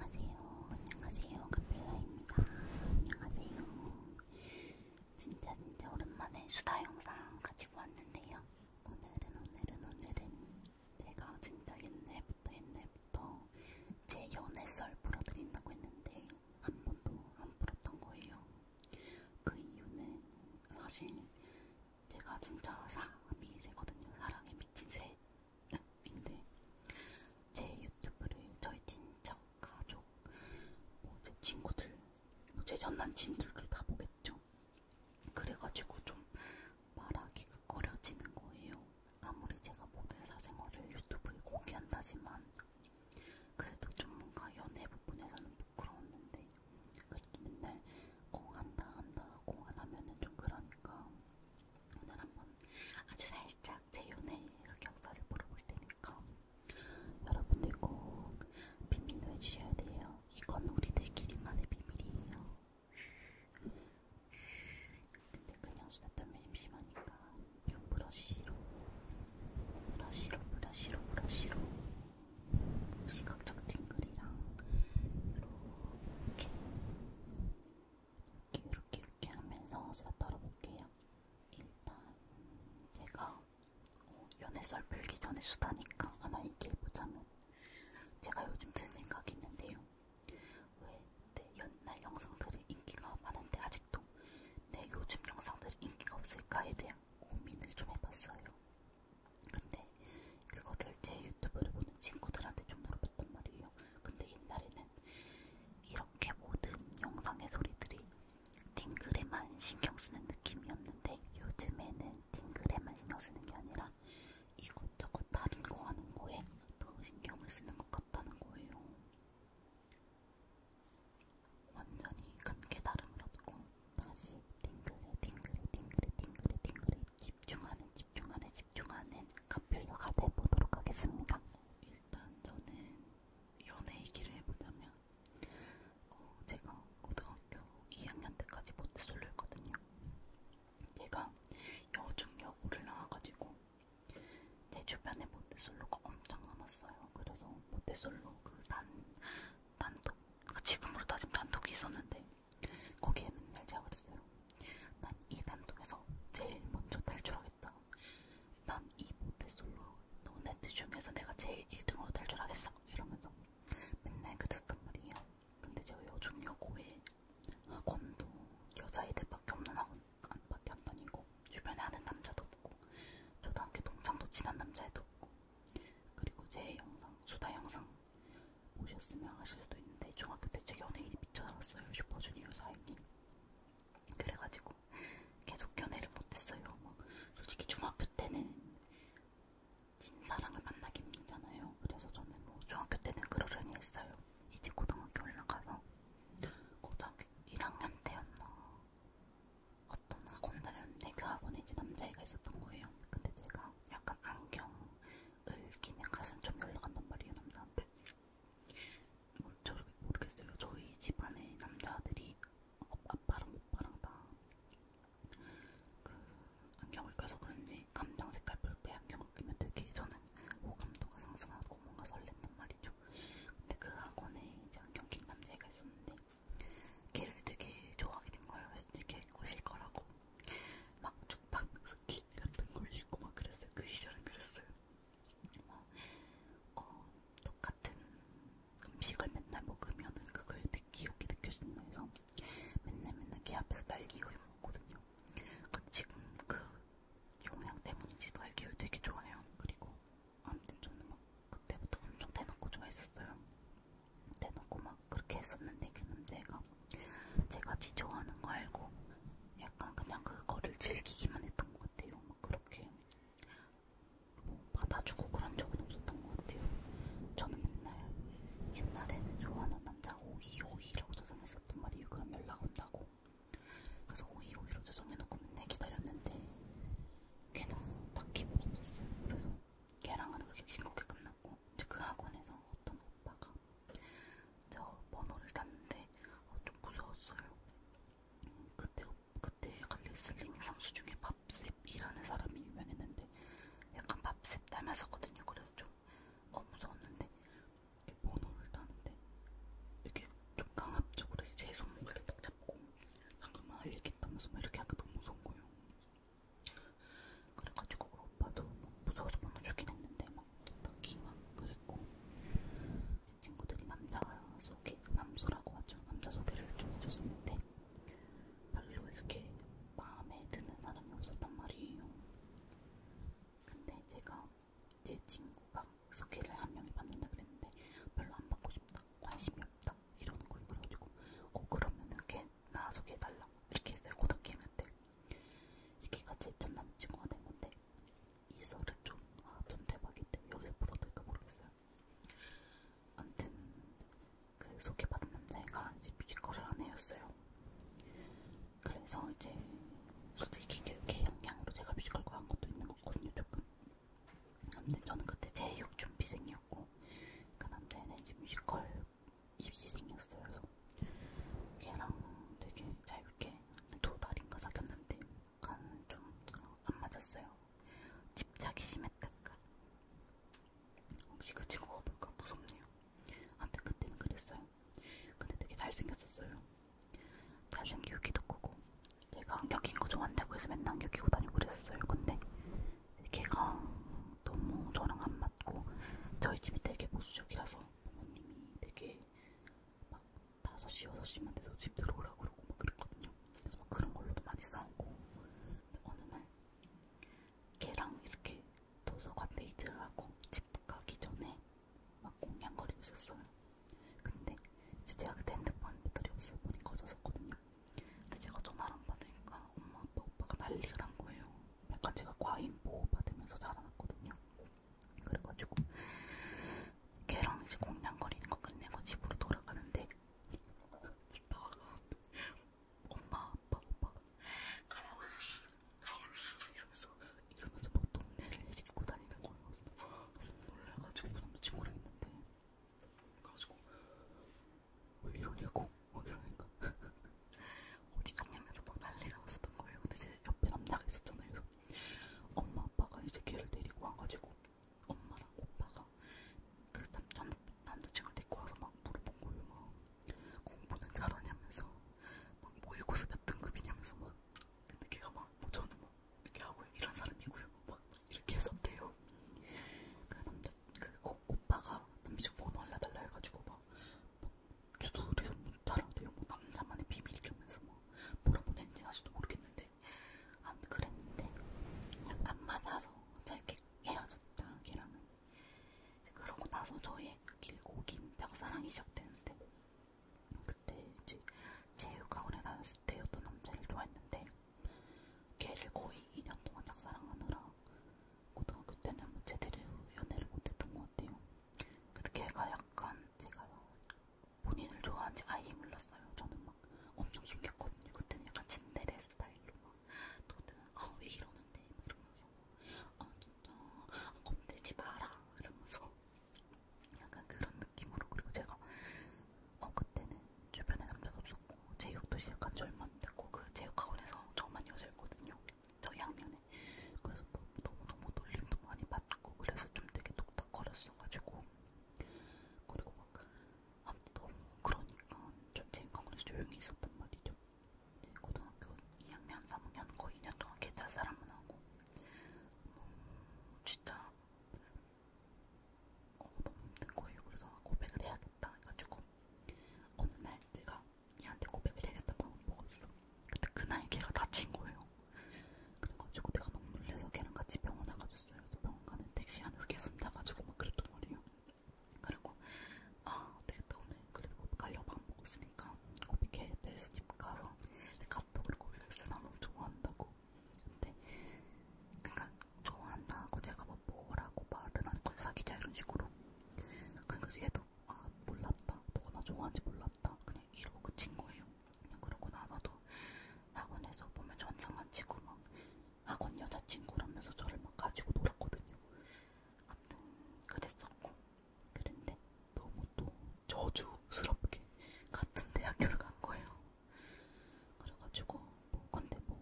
안녕하세요. 안녕하세요. 카필라입니다. 안녕하세요. 진짜 진짜 오랜만에 수다 영상 가지고 왔는데요. 오늘은 오늘은 오늘은 제가 진짜 옛날부터 옛날부터 제 연애 썰 풀어드린다고 했는데 한 번도 안 풀었던 거예요. 그 이유는 사실 제가 진짜 사랑에 미세거든요. 사랑에 미친 새. 인데 제 유튜브를 저희 친척, 가족, 뭐제 친구들, 뭐제 전남친들도 다 보겠죠. 그래가지고 좀 말하기가 꺼려지는 거예요. 아무리 제가 모든 사생활을 유튜브에 공개한다지만 그래도 좀 뭔가 연애 부분에서는 부끄러웠는데 그래도 맨날 공한다 한다 공안 하면은 좀 그러니까 오늘 한번 아주 살짝 제 연애의 격서를 물어볼 테니까 여러분들 꼭 비밀로 해주셔야 돼요. 이건 우리들끼리만의 비밀이에요. 근데 그냥 수다 떨면 심심하니까 좀 브러쉬로 브러쉬로 브러쉬로 브러쉬로 시각적 팅글이랑 이렇게 이렇게 이렇게 이렇게 하면서 수다 떨어볼게요. 일단 제가 어, 연애설 풀기 전에 수다니까 하나 얘기해보자면 제가 요즘 든 생각이 있는데요. 왜 내 옛날 영상들이 인기가 많은데 아직도 내 요즘 영상들이 인기가 없을까에 대한 고민을 좀 해봤어요. 근데 그거를 제 유튜브를 보는 친구들한테 좀 물어봤단 말이에요. 거예요. 근데 옛날에는 이렇게 모든 영상의 소리들이 띵글에만 신경 쓰는 느낌이었는데 요즘에는 띵글에만 신경 쓰는 게 아니라 이것저것 다른 거 하는 거에 더 신경을 쓰는 것 같다는 거예요. 완전히 큰 깨달음을 얻고 다시 띵글에 띵글에 띵글에 띵글에 띵글에 집중하는 집중하는 집중하는 카필러가 돼보도록 하겠습니다. 일단 저는 연애 얘기를 해보자면 어, 제가 고등학교 2학년 때까지 모태솔로였거든요. 제가 여중여고를 나와가지고 제 주변에 모태솔로가 엄청 많았어요. 그래서 모태솔로 그 단, 단독, 그 지금으로 따지면 단독이 있었는데 거기에 맨날 제가 그랬어요. 난이 단통에서 제일 먼저 탈출하겠다. 난 이 모태솔로 너네들 중에서 내가 제일 1등으로 탈출하겠어. 이러면서 맨날 그랬단 말이에요. 근데 제가 여중여고에 학원도 여자애들밖에 없는 학원 안밖에 안 다니고 주변에 아는 남자도 없고 초등학교 동창도 친한 남자애도 없고 그리고 제 영상, 수다 영상 보셨으면 아실 수도 있는데 내 네, 중학교 때 제 연예인이 미쳐 살았어요. 슈퍼주니어 사인이. 그래가지고 계속 연애를 못했어요. 뭐 솔직히 중학교 때는 진사랑을 만나기 힘들잖아요. 그래서 저는 뭐 중학교 때는 그러려니 했어요. 이제 고등학교 올라가서 고등학교 1학년 때였나 어떤 학원 다녔는데 네, 그 학원에 이제 남자애가 있었던 거예요. 근데 제가 약간 안경을 끼면 가슴 좀 올라간단 말이에요 남자한테. 저 모르겠어요. 저희 집안에 남자들이 아빠랑 오빠랑 다그 안경을 껴서 그런지 감정 색깔 볼때 안경을 끼면 되게 저는 호감도가 상승하고 뭔가 설렜단 말이죠. 근데 그 학원에 이제 안경 낀 남자애가 있었는데 걔를 되게 좋아하게 된 거예요. 이제 걔 꼬실 거라고 막 쭉박 스킨 같은 걸 입고 막 그랬어요. 그 시절은 그랬어요. 뭐, 어, 똑같은 음식을 맨날 먹으면은 그거에 기억이 느껴진다 해서 맨날 맨날 걔 앞에서 딸기우유 먹거든요. 그 지금 그 영양 때문인지 딸기우유 되게 좋아해요. 그리고 아무튼 저는 막 그때부터 엄청 대놓고 좋아했었어요. 대놓고 막 그렇게 했었는데 걔는 그 내가 제가 지 좋아하는 거 알고 약간 그냥 그거를 즐기기만 했던 것 같아요. 막 그렇게 뭐 받아주고 그런 적은 없었던 것 같아요. 저는 맨날 옛날에는 좋아하는 남자 오이 오이라고 저장했었단 말이에요. 그럼 연락 온다고. 그래서 오이 오이로 저장해놓고 맨날 기다렸는데 걔는 딱히 뭐 없었어요. 그래서 걔랑은 그렇게 싱겁게 끝났고 이제 그 학원에서 어떤 아빠가 제가 번호를 땄는데 어, 좀 무서웠어요. 그때 그때 갈리슬링 선수 중에 밥셉이라는 사람이 유명했는데 약간 밥셉 닮았었거든요. 그래서 좀 어, 무서웠는데 번호를 따는데 이렇게 좀 강압적으로 제 손목을 딱 잡고 잠깐만 알리겠다면서 이렇게 하니까 너무 무서운 거예요. 그래가지고 그 오빠도 무서워서 번호 주긴 했는데 막 토박이막 그랬고 친구들이 남자 소개, 남수라고 하죠. 남자 소개를 좀 해줬었는데 별로 이렇게 마음에 드는 사람이 없었단 말이에요. 근데 제가 제 친구가 소개를 한 명이 받는다 그랬는데 별로 안 받고 싶다, 관심이 없다 이러는 걸 그래가지고 어 그러면은 걔나 소개해달라 이렇게 해서 고등학교 했는데 이게 같이 전 남친구가 된 건데 이 소리 좀, 아, 좀 대박인데, 여기서 불어도 될까 모르겠어요. 아무튼, 그 소개받은 남자애가 이제 뮤지컬을 안 해였어요. 그래서 이제, 솔직히 교육의 영향으로 제가 뮤지컬 과한 것도 있는 거거든요, 조금. 아무튼 저는 그때 제6 준비생이었고, 그 남자애는 이제 뮤지컬 입시생이었어요. 그래서 걔랑 되게 짧게 두 달인가 사귀었는데 간은 좀안 맞았어요. 집착이 심했달까. 혹시 그 친구가 볼까 무섭네요. 아무튼 그때는 그랬어요. 근데 되게 잘생겼었어요. 잘생기고 키도 크고 제가 안경 낀거 좋아한다고 해서 맨날 안경 끼고 다니고 그랬어요. 근데 걔가 너무 저랑 안 맞고 저희 집이 되게 보수적이라서 부모님이 되게 막 5시, 6시만 돼서 집 들어오라고 그러고 막 그랬거든요. 그래서 막 그런 걸로도 많이 싸우고. 근데 어느 날, 걔랑 이렇게 도서관 데이트를 하고 집 가기 전에 막 공냥거리고 있었어요. 근데 이제 제가 그때 핸드폰 배터리 없어 보니 꺼졌었거든요. 근데 제가 전화를 안 받으니까 엄마, 아빠, 오빠가 난리가 난 거예요. 약간 그러니까 제가 과잉 보호받으면서 자라났거든요. 그래가지고 걔랑 이제 공냥거리는 거 끝내고 집으로 돌아가는데 집 나와가 엄마 아빠 오빠 가라와 가라와 이러면서 이러면서 막 동네를 짚고 다니는 거예요. 놀라가지고 그 남자친구랑 있는데 그래가지고 왜 이러냐고 막 이러니까 어디 갔냐면서 막 난리가 났었던 거예요. 근데 제 옆에 남자가 있었잖아요. 그래서 엄마 아빠가 이제 걔를 데리고 와가지고 엄마랑 오빠가 그 남자, 남자친구를 데리고 와서 막 물어본 거예요. 막 공부는 잘하냐면서 막 모의고사 몇 등급이냐면서 막 근데 걔가 막뭐 저는 뭐 이렇게 하고 이런 사람이고요. 막 이렇게 했었대요. 그 남자 그 어, 오빠가 남자친구 번호 알려달라 해가지고 막 저도 우리 나랑 되게 뭐 남자만의 비밀이라면서 뭐 뭐라고 했는지 아직도 모르겠는데 안 그랬는데 안 맞아서 짧게 헤어졌다 걔랑은 이제 그러고 나서 저의 길고 긴 짝사랑이 시작되는데 그때 이제 체육학원에 다녔을 때 어떤 남자를 좋아했는데 걔를 거의 2년 동안 짝사랑하느라 고등학교 때는 뭐 제대로 연애를 못했던 것 같아요. 그래서 걔가 약간 제가 본인을 좋아하는지 아예 몰랐어요. 저는 막 엄청 숨겼거든요. 그때는 약간 진데레 스타일로 막, 또 그때는 아, 왜 이러는데? 막 이러면서, 아, 진짜, 건들지 마라. 이러면서, 약간 그런 느낌으로. 그리고 제가, 어, 그때는 주변에 남자도 없었고, 제육도 시작한 지 얼마 안 됐고, 그 제육학원에서 저만 여자였거든요. 저 양면에 그래서 너무너무 놀림도 많이 받고 그래서 좀 되게 독특거렸어가지고 그리고 막 아무튼 너무 그러니까 좀생각으로 조용히 있었단 말이죠. 고등학교 2학년, 3학년 거의 2년 동안 개잘 사람만 하고 음, 진짜 어, 너무 힘든 거예요. 그래서 고백을 해야겠다 해가지고 어느 날 내가 얘한테 고백을 해야겠다 마음 먹었어. 근데 그날 걔가 다친 거예요. 그래가지고 내가 너무 놀래서 걔랑 같이 병원 나가줬어요. 그래서 병원 가는 택시 안에서 계속 나가지고 막 그랬던 거예요. 그리고 아 어떻게다 오늘 그래도 뭐 고백하려 밥 먹었으니까 고백해야 돼서 집 가서 카톡으로 고백했어요. 나 너무 좋아한다고. 근데 그러니까 좋아한다고 제가 뭐 뭐라고 말은 안 했고 사귀자 이런 식으로. 그러니까 그래서 얘도 아 몰랐다. 너가 나 좋아하는지 몰랐다. 그냥 이러고 친 거예요. 그러고 나서도 학원에서 보면 전상한 친구 막 학원 여자친구라면서 저를 막 가지고 놀았거든요. 아무튼 그랬었고 그런데 너무 또 저주스럽게 같은 대학교를 간 거예요. 그래가지고 뭐 근데 뭐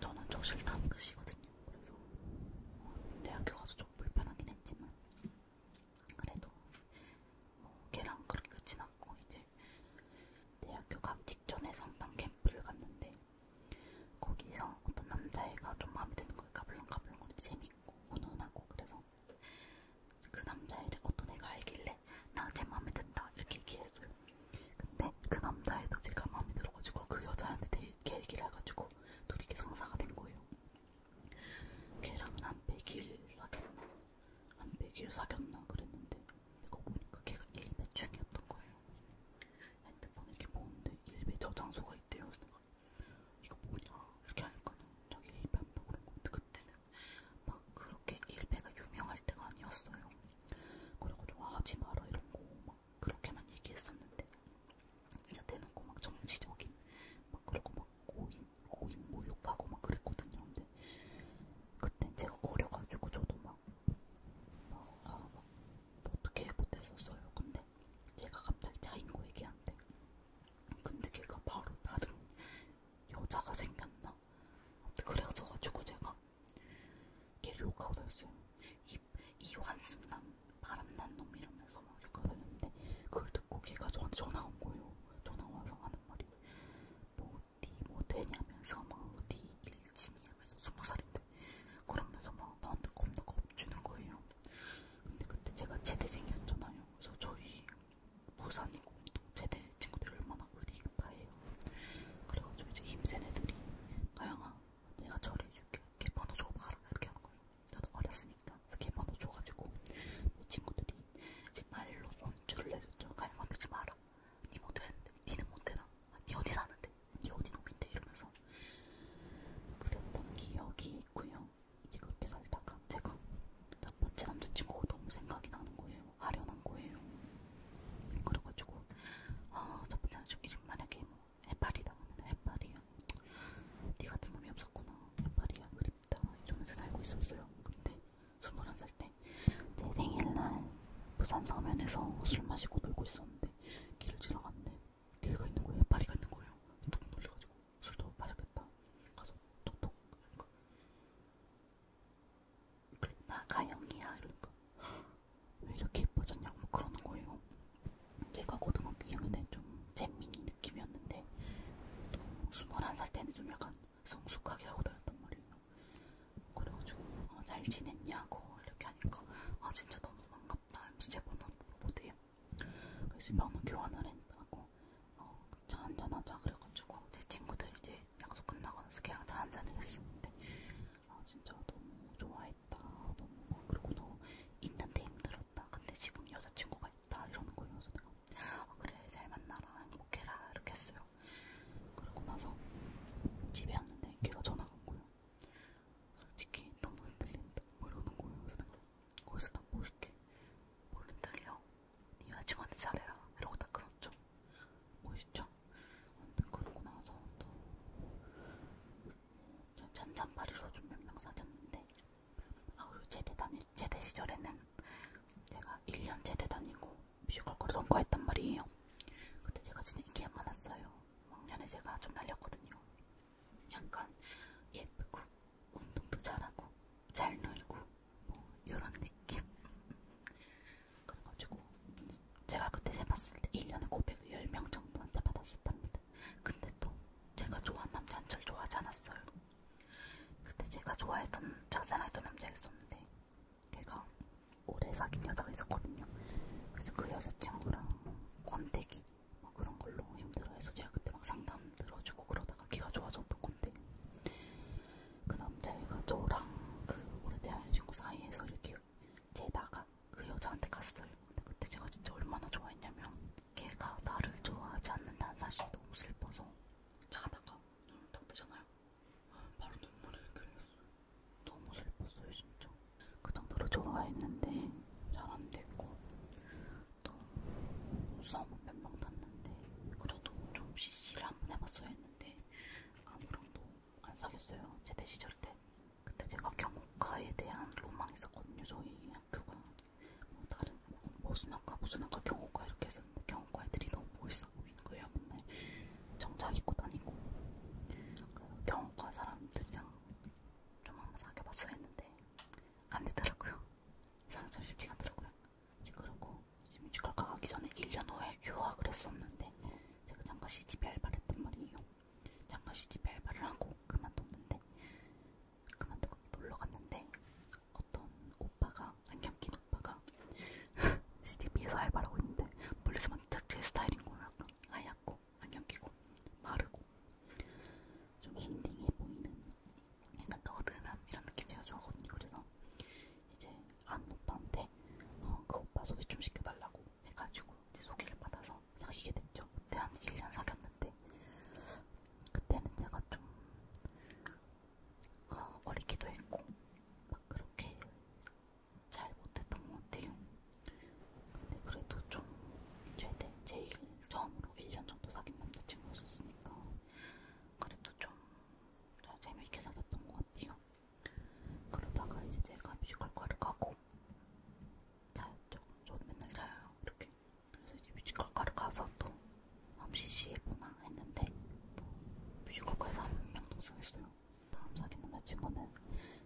저는 정실 탐긋이거든요. 그래서 대학교 가서 좀 불편하긴 했지만 그래도 뭐 걔랑 그렇게 끝이 났고 이제 대학교 가기 직전에 성당 캠프를 갔는데 거기서 어떤 남자애가 좀 마음에 드는 거니까 가불렁가불렁거리고 재밌고 훈훈하고 그래서 그 남자애를 어떤 애가 알길래 나쟤 마음에 든다 이렇게 얘기했어요. 근데 그 남자애도 제가 마음에 들어가지고 그 여자한테 걔 그 얘기를 해가지고 둘이 이렇게 성사가 된 거예요. 걔랑은 한 100일 사귀었나? 한 100일 사귀었나? 그랬는데 이거 보니까 걔가 1배 중이었던 거예요. 핸드폰 이렇게 보는데 1배 저장소가 있대요. 이거 뭐냐? 이렇게 하니까는 자기 1배 한다고 그런 건데 그때는 막 그렇게 1배가 유명할 때가 아니었어요. 그리고 좀 하지 마라 이런 거막 그렇게만 얘기했었는데 진짜 대놓고 막 정치적인 막 그러고 막 고인 고인 모욕하고 막 그랬거든요. 근데 그때 제가 어려가지고 저도 막, 막, 아, 막 어떻게 못했었어요. 근데 제가 갑자기 자인고 얘기한데 근데 걔가 바로 다른 여자가 생겼나? 그래가지고 제가 걔를 욕하고 다녔어요. 이, 이 환승난 바람난 놈 이러면서 막 이렇게 하는데 그걸 듣고 걔가 저한테 전화가 온 거예요. 전화 와서 하는 말이 뭐, 니 뭐 되냐면서 막, 니 일진이냐면서 스무 살인데 그러면서 막 나한테 겁나 겁주는 거예요. 근데 그때 제가 제대생이었잖아요. 그래서 저희 부산이고 제대 친구들이 얼마나 의리파예요. 그래가지고 이제 힘센 애들이 가영아 내가 저를 해줄게. 걔 번호 줘봐라 이렇게 한 거예요. 저도 어렸으니까 스케머도 줘가지고 내 친구들이 말로 원주를 내줬죠. 가면 건들지 마라. 니 못했는데, 니는 못해나. 니 어디 사는데, 니 어디 놈인데 이러면서 그랬던 기억이 있고요. 이제 그렇게 살다가 제가 첫 번째 남자친구가 너무 생각이 나는 거예요. 아련한 거예요. 그래가지고 아첫 번째 남자친구 이름 만약에 뭐 해파리다 그러면 해파리야. 네 같은 몸이 없었구나. 파리야 그립다. 이러면서 살고 있었어요. 근데 21살 때내 생일날 부산 서면에서 술 마시고 놀고 있었는데 길을 지나갔는데 길가 있는 거예요. 파리가 있는 거예요. 톡 놀려가지고 술도 마셨겠다. 가서 톡톡 그러니까 나 가영이야 이러니까 왜 이렇게 예뻐졌냐고 뭐 그러는 거예요. 제가 고등학교 2학년 때좀 잼민이 느낌이었는데 또 21살 때는 좀 약간 성숙하게 하고 다녔단 말이에요. 그래가지고 어, 잘 지냈냐고 이렇게 하니까 아 진짜 너무 반갑다. MC 제번호 물어보대요. 그래서 명호 교환을 했다고 어, 차 한잔하자 그래가지고 제 친구들 이제 약속 끝나고 나서 그냥 차 한잔을 했었는데 아 진짜 너무 좋아했다. 너무 막 그러고 너 있는데 힘들었다. 근데 지금 여자친구가 좋다 이러는 거면서 내가 어, 그래 잘 만나라 행복해라 이렇게 했어요. 그러고 나서 집에 왔는데 걔가 전화가 온 거예요. 솔직히 너무 흔들린다 뭐 이러는 거예요. 그래서 내가 거기서 딱 멋있게 뭘 흔들려? 네 여자친구한테 잘해라 이러고 딱 끊었죠. 멋있죠? 아무튼 그러고 나서 또 잔잔파리로 좀몇명 사귀었는데 아우 요새 대단히 제대 시절에는 제가 1년 제대 다니고 뮤지컬과를 선거했단 말이에요. 그때 제가 진짜 인기가 많았어요. 왕년에 제가 좀 날렸거든요. 약간 예쁘고 운동도 잘하고 잘 놀고 뭐 이런 느낌. 그래가지고 제가 그때 해봤을 때 1년에 고백을 10명 정도한테 받았었답니다. 근데 또 제가 좋아하는 남자 한절 좋아하지 않았어요. 그때 제가 좋아했던 자살했던 남자가 있었는데 걔가 오래 사귄 여자가 있었거든요. 그래서 그 여자친구랑 권태기 뭐 그런 걸로 힘들어해서 제가 그때 막 상담 들어주고 그러다가 걔가 좋아졌던 건데 그 남자애가 저랑 그 오래된 친구 사이에서 이렇게 재다가 그 여자한테 갔어요. 근데 그때 제가 진짜 얼마나 좋아했냐면 걔가 나를 좋아하지 않는다는 사실이 너무 슬퍼서 자다가 눈을 딱 뜨잖아요. 바로 눈물이 흘렸어요. 너무 슬펐어요 진짜. 그 정도로 좋아했는데 잘 안 됐고 또 수업은 몇명 났는데 그래도 좀 CC를 한번 해봤어야 했는데 아무랑도 안 사귀었어요. 제대 시절 때. 그때 제가 경호과에 대한 로망이 있었거든요. 저희 학교가 뭐 다른 보수학과, 보수학과, 경호과 이렇게 했었는데 경호과 애들이 너무 멋있어 보이는 거예요. 맨날 정장 입고 다니고 그래서 경호과 사람들이랑 좀 한번 사귀어봤어 했는데 안 되더라고요. 상상 쉽지가 않더라고요. 그리고 이제 뮤지컬 가기 전에 1년 후에 유학을 했었는데 제가 잠깐 CDB 알바를 했단 말이에요. 잠깐 CDB 알바를 하고 그만뒀는데 그만두고 놀러 갔는데 어떤 오빠가 안경낀 오빠가 CDB에서 알바를 하고 있는데 멀리서만 딱제 스타일인 거예요. 약간 하얗고 안경 끼고 마르고 좀 힐링해 보이는 약간 너드남이라는 느낌 제가 좋아하거든요. 그래서 이제 안 오빠한테 어, 그 오빠 소개 좀 시켜달라고 해가지고 이제 소개를 받아서 사귀게 됐죠. 그때 한 1년 사귀었는데 있었는데 그때는 제가 좀 어, 어리기도 했고 막 그렇게 잘 못했던 것 같아요. 근데 그래도 좀 최대 네, 제일 처음으로 1년 정도 사귄 남자친구였었으니까 그래도 좀잘 재미있게 사귀었던 것 같아요. 그러다가 이제 제가 뮤지컬과를 가고 자요. 저도 맨날 자요. 이렇게 그래서 이제 뮤지컬과를 가서 또 잠시 시해보나 했는데 뭐 뮤지컬과에서 한 명 동승했어요. 다음 사귀는 남자친구는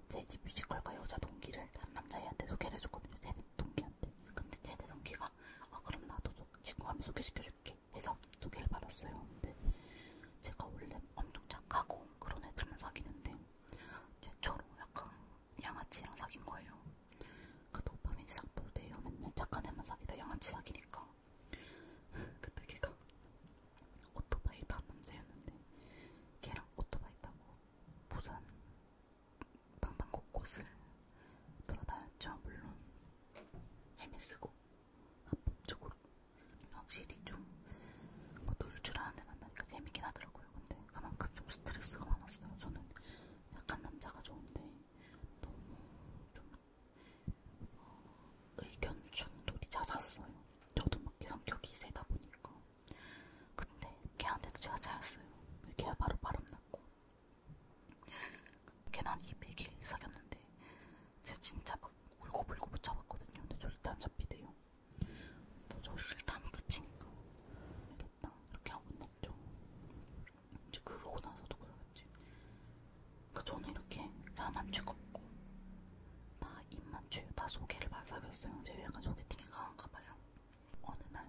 제 이제 뮤지컬과 여자 동기를 다른 남자애한테 소개를 해줬거든요. 제 동기한테. 근데 제 동기가 아 그럼 나도 친구 한명 소개시켜줄게 해서 소개를 받았어요. 근데 제가 원래 엄청 착하고 그런 애들만 사귀는데 최초로 약간 양아치랑 사귄 거예요. 그 도파민이 싹 돌대요. 맨날 착한 애만 사귀다 양아치 사귀니까. 그때 걔가 오토바이 탄 남자였는데 걔랑 오토바이 타고 부산 방방 곳곳을 돌아다녔죠. 물론 헤매쓰고 합법적으로 확실히 좀뭐놀줄 어, 아는 애 만나니까 재밌긴 하더라고요. 근데 그만큼 좀 스트레스가 많았어요. 저는 약간 남자가 좋은데 너무 좀 어, 의견 충돌이 잦았어요. 저도 막 성격이 세다 보니까. 근데 걔한테도 제가 차였어요. 걔가 바로 바람났고. 걔난 200일 사귀었는데 제가 진짜 막 울고불고 못 잡았거든요. 근데 저 일단 안 잡히대요. 또저 싫다면 끝이니까. 알겠다. 이렇게 하고 있었죠. 이제 그러고 나서 누구야 그치? 그러니까 저는 이렇게 나만 죽었고 나 입만 추요 다 소개를 받아봤어요. 제가 약간 소개팅에 강한가 봐요. 어느 날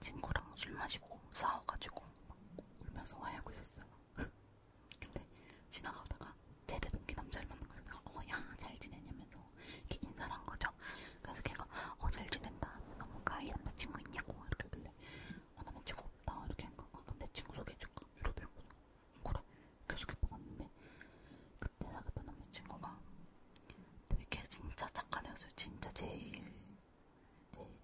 친구랑 술 마시고 싸워가지고 막 울면서 화해하고 있었어요. 근데 지나가다가 제대 동기 남자를 만난 거예요. 내가 어야 잘 지내냐면서 이렇게 인사를 한 거죠. 그래서 걔가 어 잘 지낸다. 너무 가이 남자친구 있냐고 이렇게 했는데 아, 나 멘트가 없다. 이렇게 한 건가? 그럼 내 친구 소개해줄까? 이러더라고. 그래. 계속 해보았는데 그때 나갔던 남자친구가 되게 진짜 착한 애였어요. 진짜 제일 제일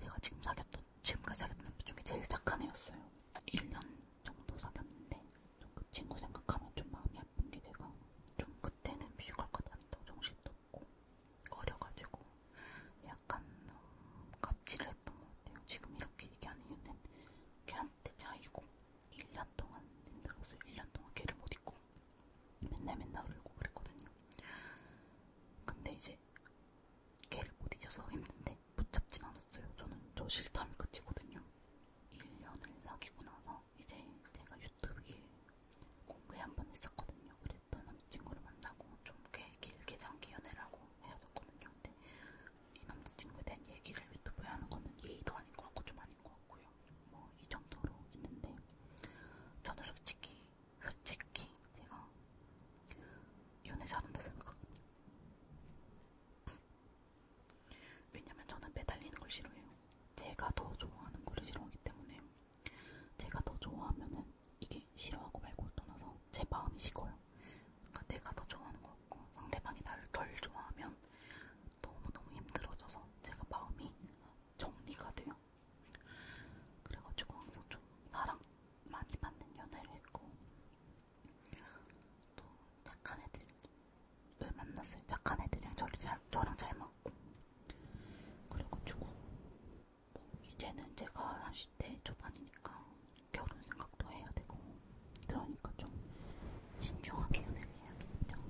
제가 지금 사귀었던 지금까지 사귀었던 남자 중에 제일 착한 애였어요. 1년 정도 사귀었는데 좀그 친구 생각하면 좀 마음이 아픈 게 제가 좀 그때는 뮤지컬까지 안 했다고 정신도 있었고 어려가지고 약간 음, 갑질을 했던 것 같아요. 지금 이렇게 얘기하는 이유는 걔한테 차이고 1년 동안 힘들었어요. 1년 동안 걔를 못 잊고 맨날 맨날 울고 그랬거든요. 근데 이제 걔를 못 잊어서 힘든데 붙잡진 않았어요. 저는 저 실탐이 끝이거든요. 1년을 사귀고 나서 이제 제가 유튜브에 공부 한번 했었거든요. 그랬더니 이 친구를 만나고 좀꽤 길게 장기 연애를 하고 헤어졌거든요. 근데 이 남자친구에 대한 얘기를 유튜브에 하는 거는 예의도 아닌 것 같고 좀 아닌 것 같고요. 뭐 이 정도로 있는데 저는 솔직히 솔직히 제가 연애 잘한다 생각하거든요. 왜냐면 저는 매달리는 걸 싫어해요. 제가 더 좋아하는 걸 싫어하기 때문에 내가 더 좋아하면은 이게 싫어하고 말고 떠나서 제 마음이 식어요. 그러니까 내가 더 좋아하는 거고 상대방이 나를 덜 좋아하면 너무너무 힘들어져서 제가 마음이 정리가 돼요. 그래가지고 항상 좀 사랑 많이 받는 연애를 했고 또 약한 애들을 만났어요. 약한 애들이랑 저랑 잘 맞고 그래가지고 이제는 제가 30대 초반이니까 결혼 생각도 해야 되고 그러니까 좀 신중하게 연애를 해야겠죠.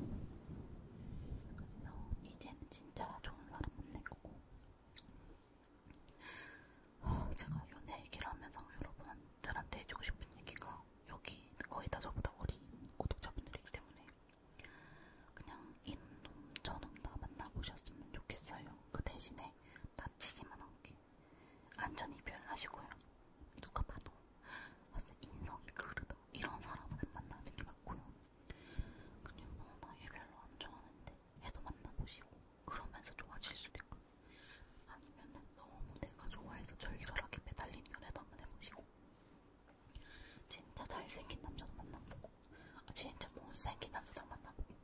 그래서 이제는 진짜 좋은 사람 만날 거고 어, 제가 연애 얘기를 하면서 여러분들한테 해주고 싶은 얘기가 여기 거의 다 저보다 어린 구독자분들이기 때문에 그냥 이놈 저놈 다 만나보셨으면 좋겠어요. 그 대신에 다치지만 않게 안전 이별하시고요. 누가 봐도 인성이 그르다 이런 사람은 만나는 게 맞고요. 그냥 뭐나 어, 이별로 안 좋아하는데 얘도 만나보시고 그러면서 좋아질 수도 있고 아니면은 너무 내가 좋아해서 절절하게 매달린 연애도 한번 해보시고 진짜 잘생긴 남자도 만나보고 아, 진짜 못생긴 남자랑 만나보고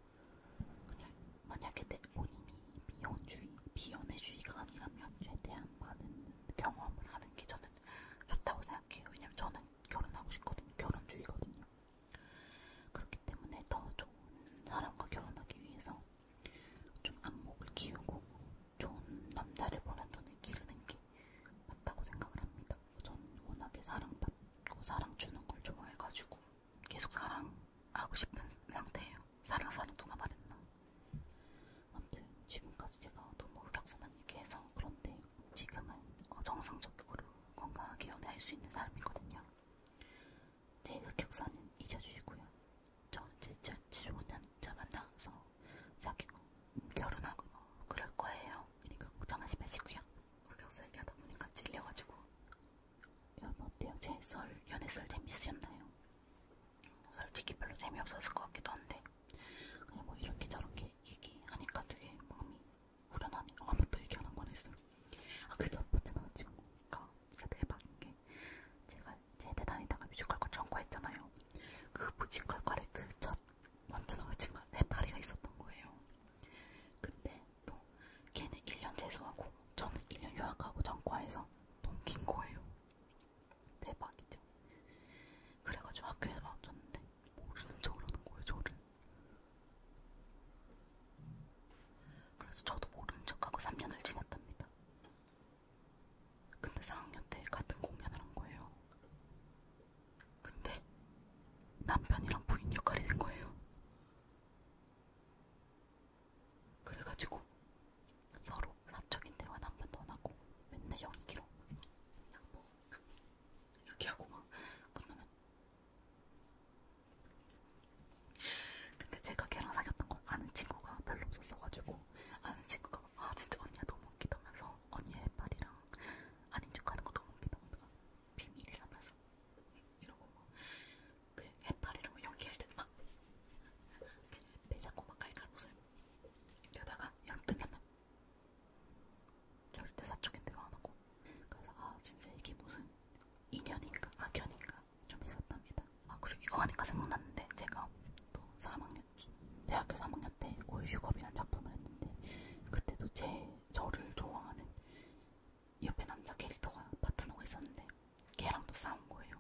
그냥 만약에 내 본인이 비혼주의, 비혼의주의가 아니라면 최대한 많은 경험을 하는 게 저는 좋다고 생각해요. 왜냐면 저는 결혼하고 싶거든요. 결혼주의거든요. 그렇기 때문에 더 좋은 사람과 결혼하기 위해서 좀 안목을 키우고 좋은 남자를 보는 눈을 기르는 게 맞다고 생각을 합니다. 전 워낙에 사랑받고 사랑 주는 걸 좋아해가지고 계속 사랑하고 싶은 상태예요. 사랑 사랑 누가 말했나? 아무튼 지금까지 제가 너무 흑역사만 얘기해서 그런데 지금은 어, 정상적으로 건강하게 연애할 수 있는 사람이거든요. 제 흑역사는 잊어주시고요. 저 진짜 지로는 자 만나서 사귀고 결혼하고 뭐 그럴 거예요. 그러니까 걱정하지 마시고요. 박격사 얘기하다 보니까 질려가지고 여러분 어때요? 제 썰, 연애썰 재밌으셨나요? 솔직히 별로 재미없었을 것 같기도 한데 그냥 뭐 이렇게 저렇게 얘기하니까 되게 마음이 후련하네 아무도 얘기 안한 거냈어요 아 그저 포츠나 친구가 진짜 대박인 게 제가 제대 다니다가 뮤지컬과 전과했잖아요 그 뮤지컬과를 그첫 먼저 나온 친구가 네파리가 있었던 거예요 근데 또 걔는 1년 재수하고 저는 1년 휴학하고 전과에서 동긴 거예요. 대박이죠. 그래가지고 학교에 나왔는데 모르는 뭐 척을 하는 거예요, 저를. 그래서 저도 모르는 척하고 3년을 지났답니다. 근데 4학년 때 같은 공연을 한 거예요. 근데 남편이랑 부인 역할이 된 거예요. 그래가지고 서로 사적인 대화 남편 떠나고 맨날 연기로 그냥 뭐 이렇게 하고 막 끝나면 근데 제가 걔랑 사귀었던 걸 아는 친구가 별로 없었어가지고 아는 친구가 아 진짜 언니야 너무 웃기다면서 언니의 팔이랑 아닌 척하는 거 너무 웃기다면서 비밀이라면서 있어. 이러고 뭐, 그 해파리랑 뭐 연기할 때도 막, 배 잡고 막 갈갈 웃음. 이러다가 연 끝나면 절대 사적인 대화 안 하고. 그래서 아 진짜 이게 무슨 인연인가 악연인가 좀 있었답니다. 아 그리고 이거 하니까 생각났는데 제가 또 3학년 대학교 3학년 때 올슈컵이라는 작품을 했는데 그때도 제 저를 좋아하는 옆에 남자 캐릭터가 파트너가 있었는데 걔랑도 싸운 거예요.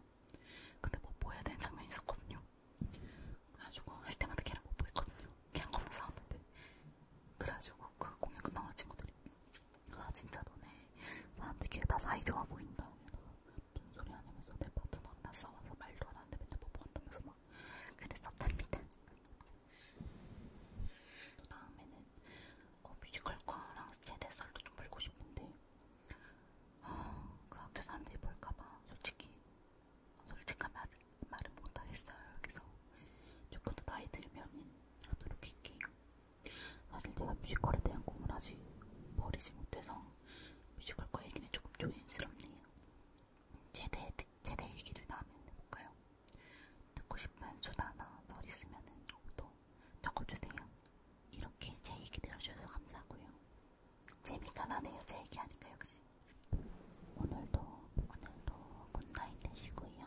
근데 뽀뽀해야 뭐 되는 장면이 있었거든요. 그래가지고 할 때마다 걔랑 뽀뽀했거든요. 뭐 걔랑 겁나 싸웠는데. 그래가지고 그 공연 끝나고 친구들이 아 진짜 너네 사람들끼리 다 사이 좋아 보인다. 무슨 소리 안 하면서 내 파트너랑 나 싸워서 말도 안 하는데 맨날 뽀뽀한다면서 뭐 막 그랬었답니다. 또 다음에는 어, 뮤지컬과랑 세대살도 좀 물고 싶은데 어, 그 학교 사람들이 볼까봐 솔직히 솔직한 말, 말은 못하겠어요. 여기서 조금 더 나이 들면 하도록 할게요. 사실 제가 뮤지컬에 대한 꿈을 아직 버리지 못해서 뮤지컬과 얘기는 조금 조심스럽네요. 제대, 제대 얘기를 다음에 해볼까요? 듣고 싶은 수다나 썰 있으면은 또 적어주세요. 이렇게 제 얘기 들어주셔서 감사하고요. 재미가 나네요. 제 얘기하니까 역시. 오늘도 오늘도 굿나잇 되시고요.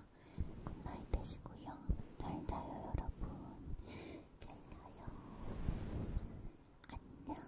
굿나잇 되시고요. 잘 자요 여러분. 잘 자요. 안녕.